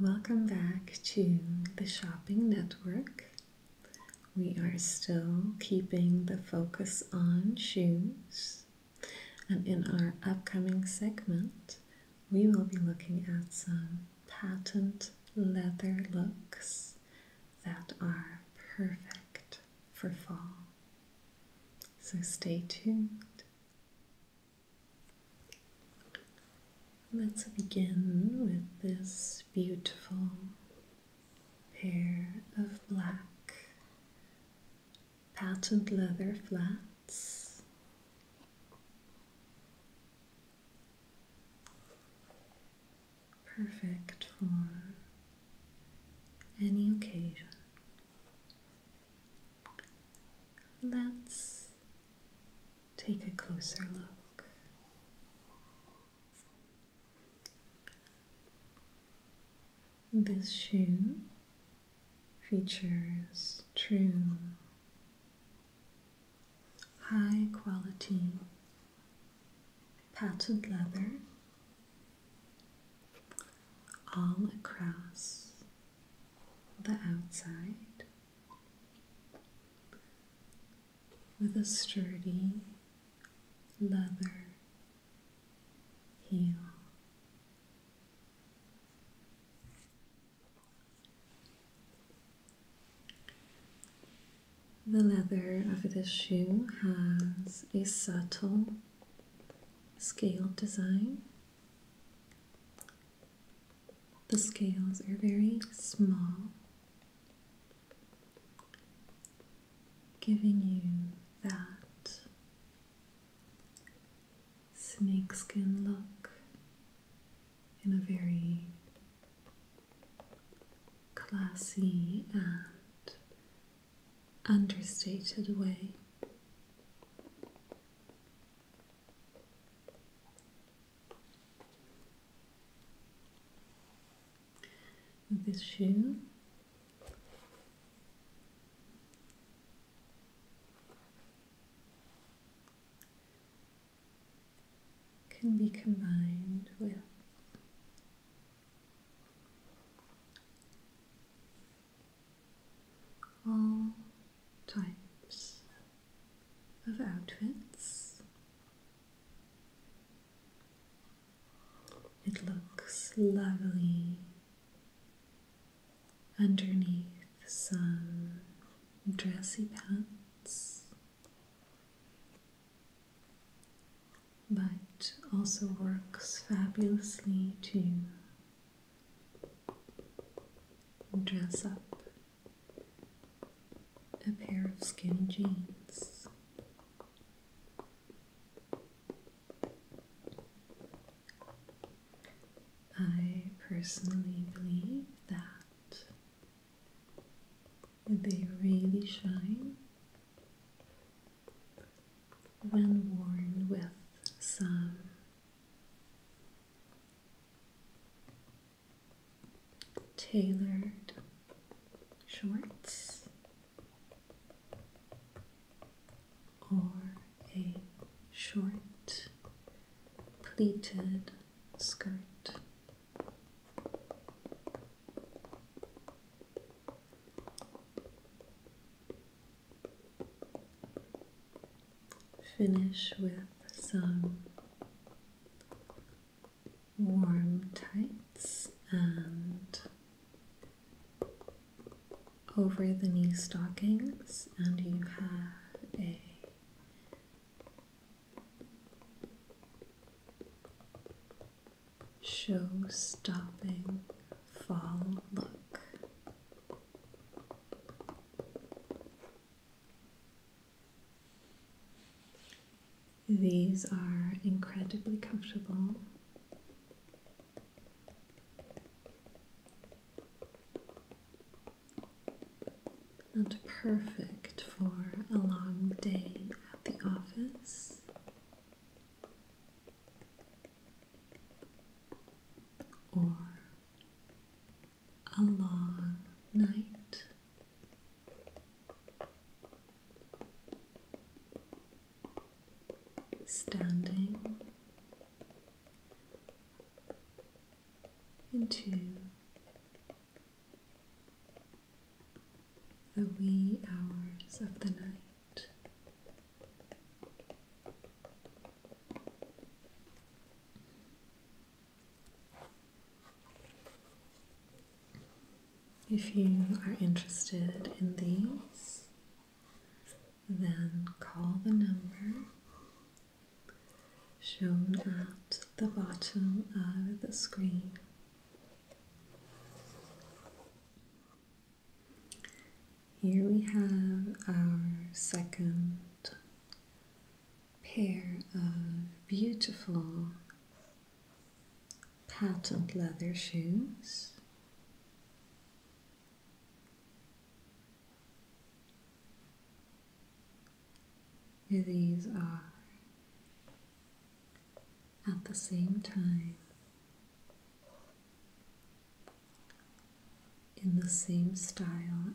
Welcome back to the Shopping Network. We are still keeping the focus on shoes, and in our upcoming segment, we will be looking at some patent leather looks that are perfect for fall. So stay tuned. Let's begin with this beautiful pair of black patent leather flats. Perfect for any occasion. Let's take a closer look. This shoe features true high quality patent leather all across the outside with a sturdy leather heel. The leather of this shoe has a subtle scale design the scales are very small, giving you that snakeskin look in a very classy and understated way this shoe can be combined with all types of outfits. It looks lovely underneath some dressy pants, but also works fabulously too dress up a pair of skinny jeans. I personally believe that they really shine when worn with some tailored shorts or a short pleated skirt. Finish with some warm tights and over the knee stockings, and you have a show stopping fall look. These are incredibly comfortable. And perfect for a long day at the office or a long night. Standing into the wee hours of the night. If you are interested in these, then call the number shown at the bottom of the screen. Here we have our second pair of beautiful patent leather shoes. These are at the same time in the same style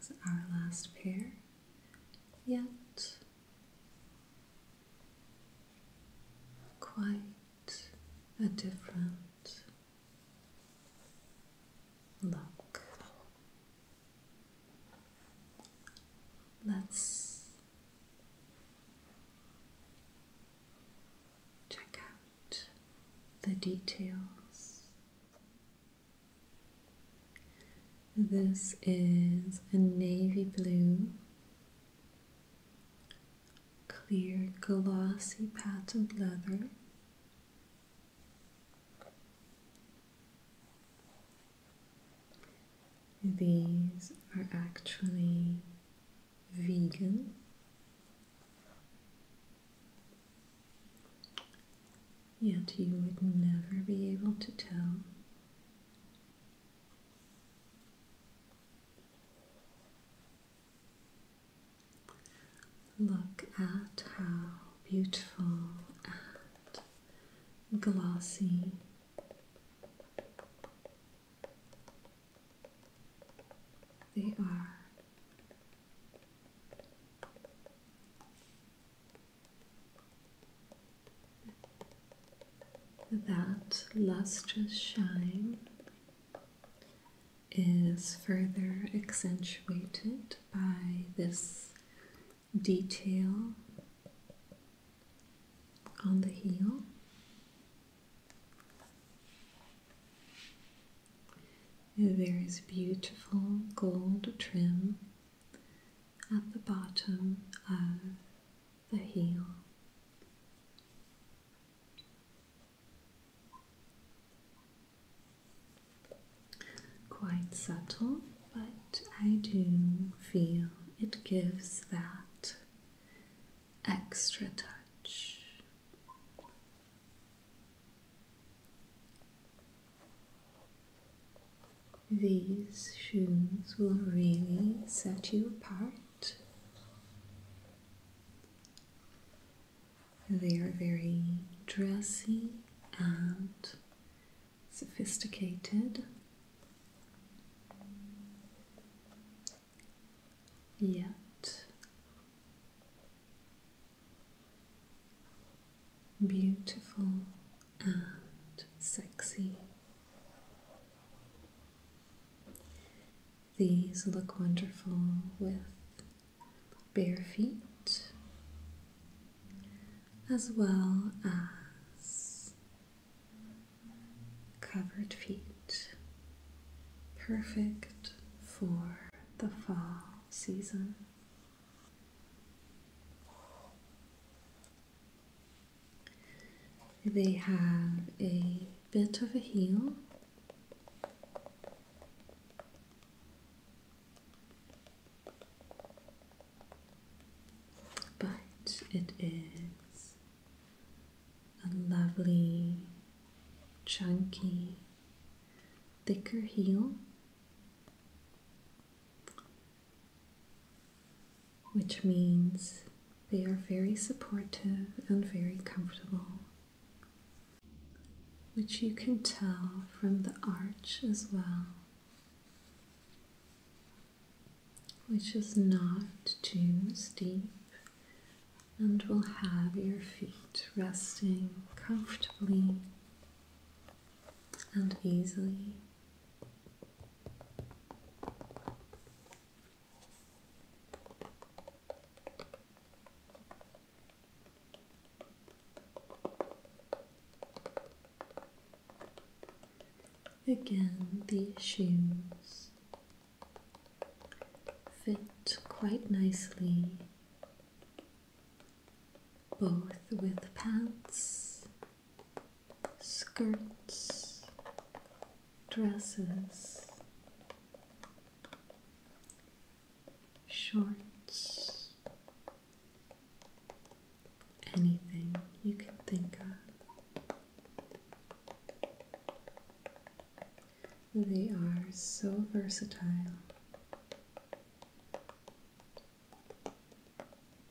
as our last pair, yet quite a different look. Let's Check out the details. This is a navy blue, clear, glossy patent leather. These are actually vegan. Yet you would never be able to tell. Look at how beautiful and glossy they are that lustrous shine is further accentuated by this detail on the heel. There is beautiful gold trim at the bottom of the heel. Quite subtle but I do feel it gives that extra touch. These shoes will really set you apart. They are very dressy and sophisticated. Yet beautiful and sexy. These look wonderful with bare feet as well as covered feet, perfect for the fall season. They have a bit of a heel but it is a lovely, chunky, thicker heel, which means they are very supportive and very comfortable. Which you can tell from the arch as well which is not too steep, and will have your feet resting comfortably and easily. Again, the shoes fit quite nicely, both with pants, skirts, dresses, shorts, anything you can think of. They are so versatile.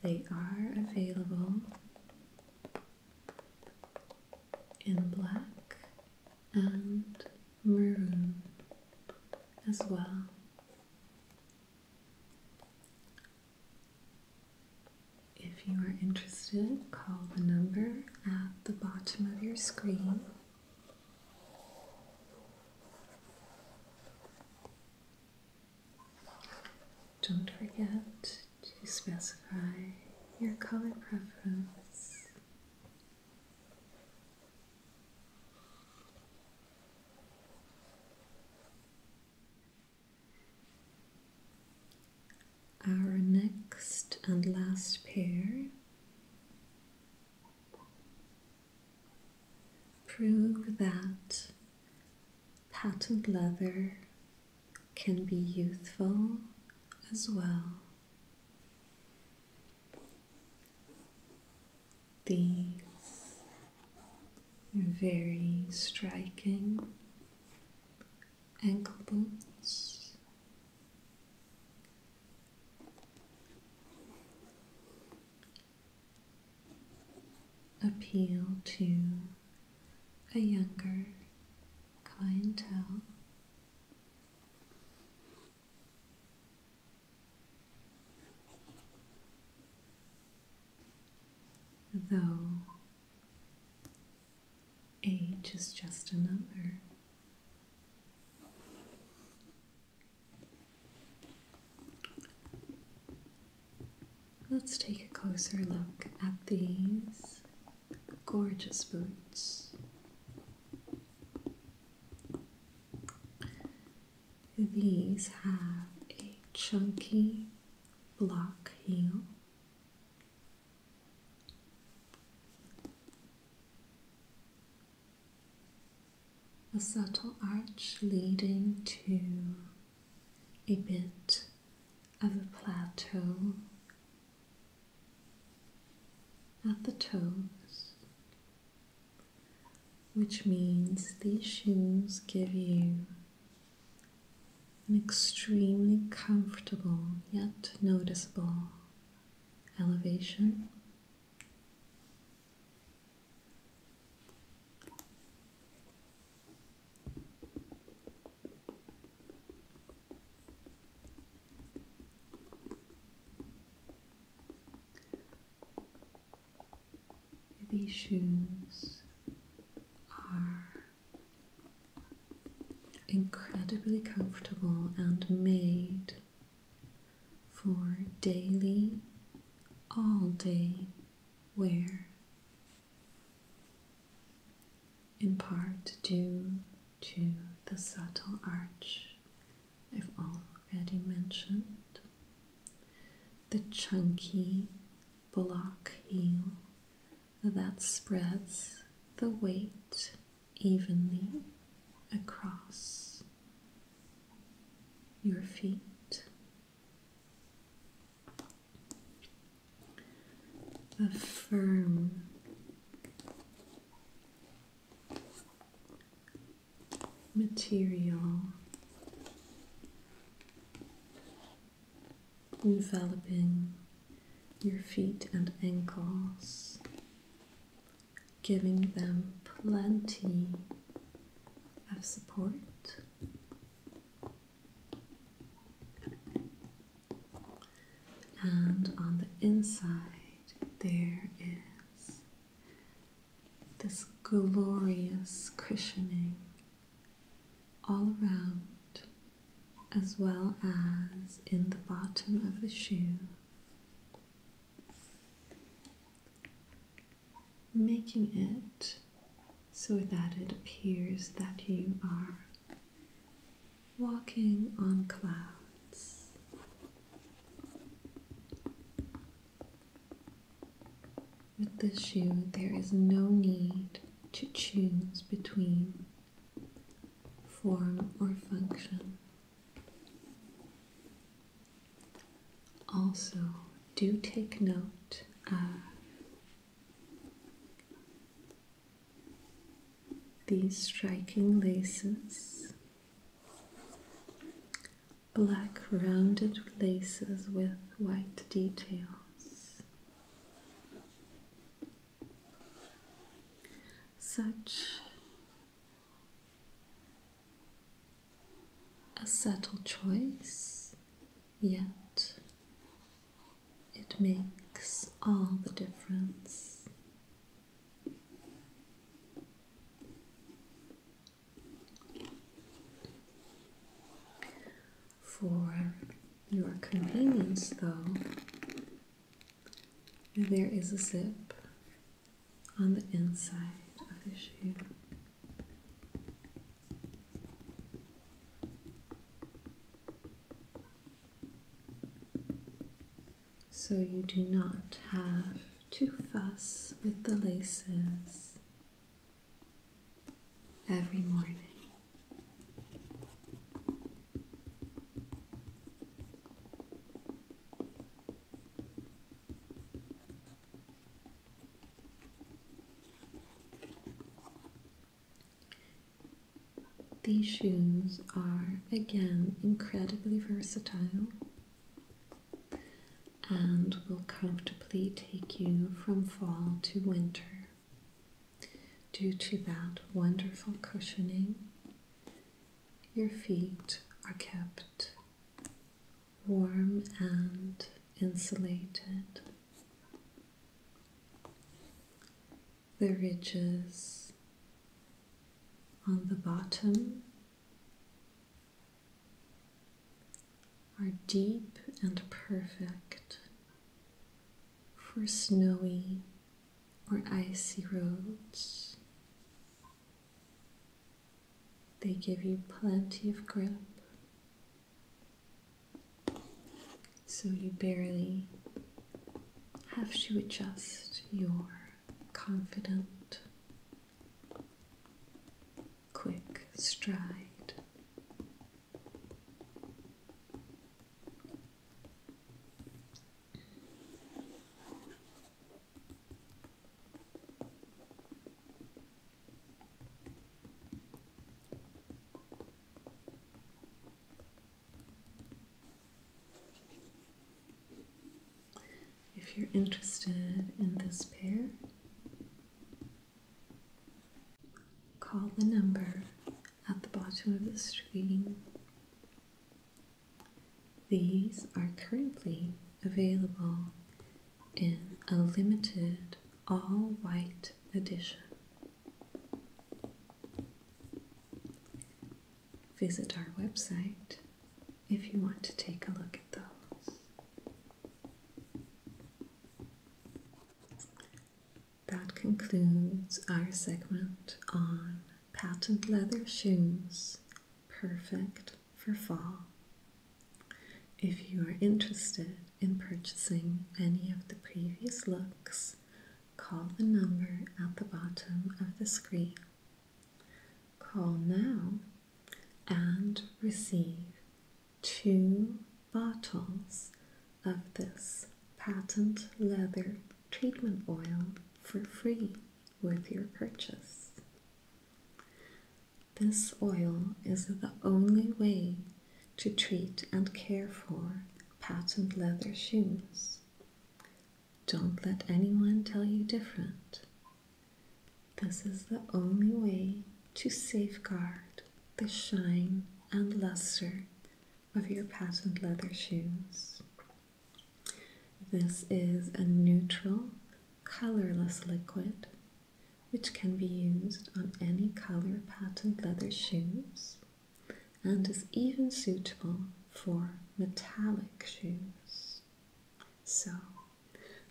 They are available in black and maroon as well. If you are interested, call the number at the bottom of your screen. Don't forget to specify your color preference. Our next and last pair prove that patent leather can be youthful as well. These very striking ankle boots. Appeal to a younger clientele. Though age is just a number. Let's take a closer look at these gorgeous boots. These have a chunky block heel. A subtle arch leading to a bit of a plateau at the toes which means these shoes give you an extremely comfortable yet noticeable elevation. These shoes are incredibly comfortable and made for daily, all day wear, in part due to the subtle arch I've already mentioned, the chunky block heel that spreads the weight evenly across your feet. The firm material enveloping your feet and ankles, giving them plenty of support. And on the inside, there is this glorious cushioning all around, as well as in the bottom of the shoe, making it so that it appears that you are walking on clouds. With this shoe, there is no need to choose between form or function. Also, do take note of these striking laces Black rounded laces with white details. Such a subtle choice, yet it makes all the difference. For your convenience, though, there is a zip on the inside of the shoe so you do not have to fuss with the laces every morning. These shoes are again incredibly versatile and will comfortably take you from fall to winter due to that wonderful cushioning. Your feet are kept warm and insulated the ridges on the bottom are deep and perfect for snowy or icy roads. They give you plenty of grip so you barely have to adjust your confident, quick stride. If you're interested in this pair, call the number at the bottom of the screen. These are currently available in a limited all white edition. Visit our website if you want to take a look at those. That concludes our segment on patent leather shoes, perfect for fall. If you are interested in purchasing any of the previous looks Call the number at the bottom of the screen. Call now and receive two bottles of this patent leather treatment oil for free with your purchase. This oil is the only way to treat and care for patent leather shoes. Don't let anyone tell you different. This is the only way to safeguard the shine and luster of your patent leather shoes. This is a neutral, colorless liquid which can be used on any color patent leather shoes and is even suitable for metallic shoes. So,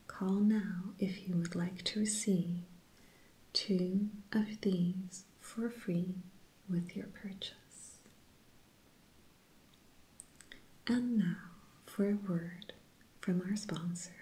call now if you would like to receive two of these for free with your purchase. And now for a word from our sponsor.